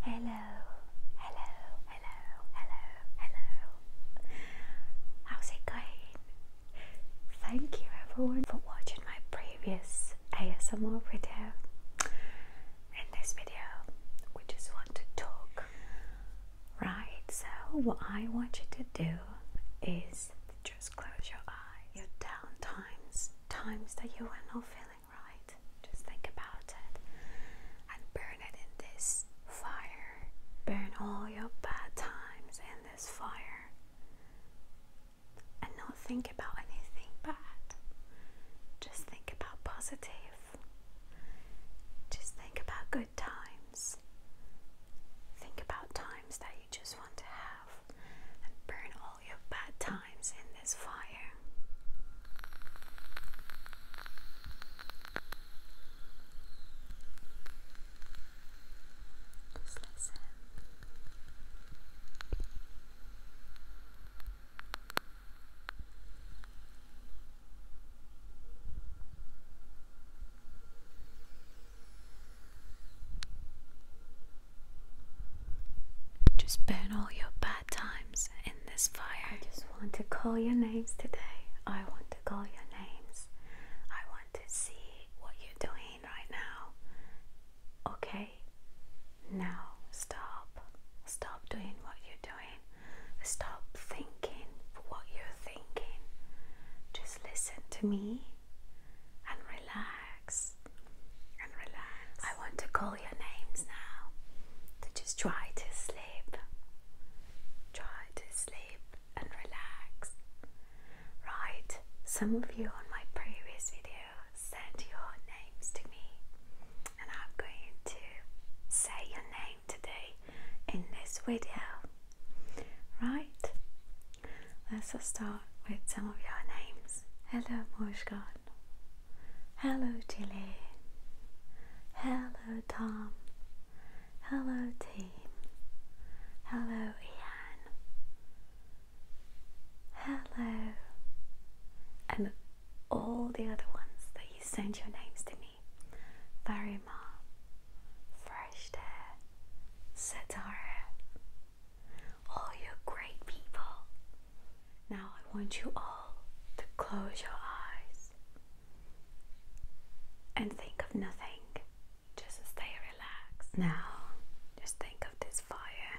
Hello, hello, hello, hello, hello. How's it going? Thank you everyone for watching my previous ASMR video. In this video, we just want to talk. Right, so what I want you to do is just close your eye, your down times, times that you are not feeling right? Just think about it and burn it in this fire. Burn all your bad times in this fire and not think about anything bad. Just think about positive. Just think about good times. Think about times that you just want to have and burn all all your bad times in this fire. Just listen. Just burn all your bad times in this fire. I just want to call your names today. I want to call your names. I want to see what you're doing right now. Okay? Now stop. Stop doing what you're doing. Stop thinking for what you're thinking. Just listen to me and relax and relax. I want to call your names now. To just try to sleep. Try to sleep and relax. Right, some of you on my previous video sent your names to me, and I'm going to say your name today in this video. Right, let's start with some of your names. Hello, Mushkan. Hello, Chile. Hello, Tom. Hello, team. Hello, Ian. Hello. And all the other ones that you sent your names to me. Very aroma, fresh air, Satara, all your great people. Now I want you all to close your eyes and think of nothing. Just stay relaxed. Now, just think of this fire.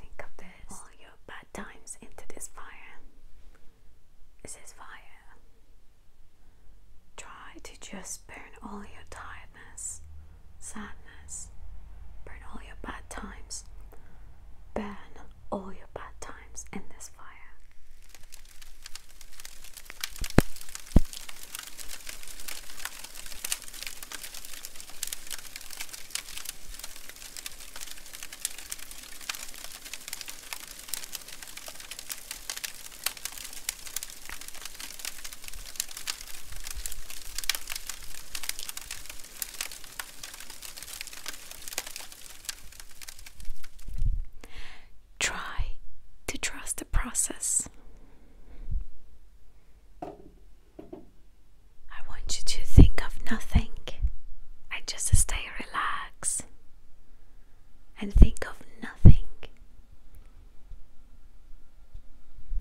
Think of this. All your bad times into this fire. This is fire. Try to just burn all your tiredness, sadness, burn all your bad times, burn all your bad times in this fire. Try to trust the process. I want you to think of nothing. I just stay relaxed and think of nothing.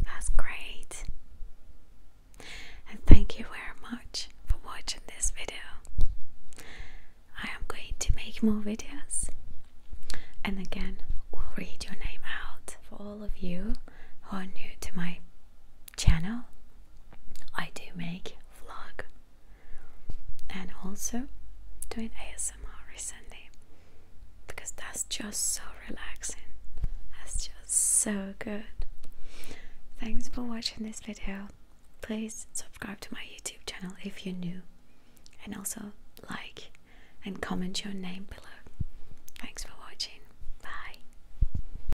That's great. And thank you very much for watching this video. I am going to make more videos. And again, we'll read your name out for all of you who are new to my channel. I do make vlog and also doing ASMR recently because that's just so relaxing. That's just so good. Thanks for watching this video. Please subscribe to my YouTube channel if you're new and also like and comment your name below. Thanks for watching. Bye.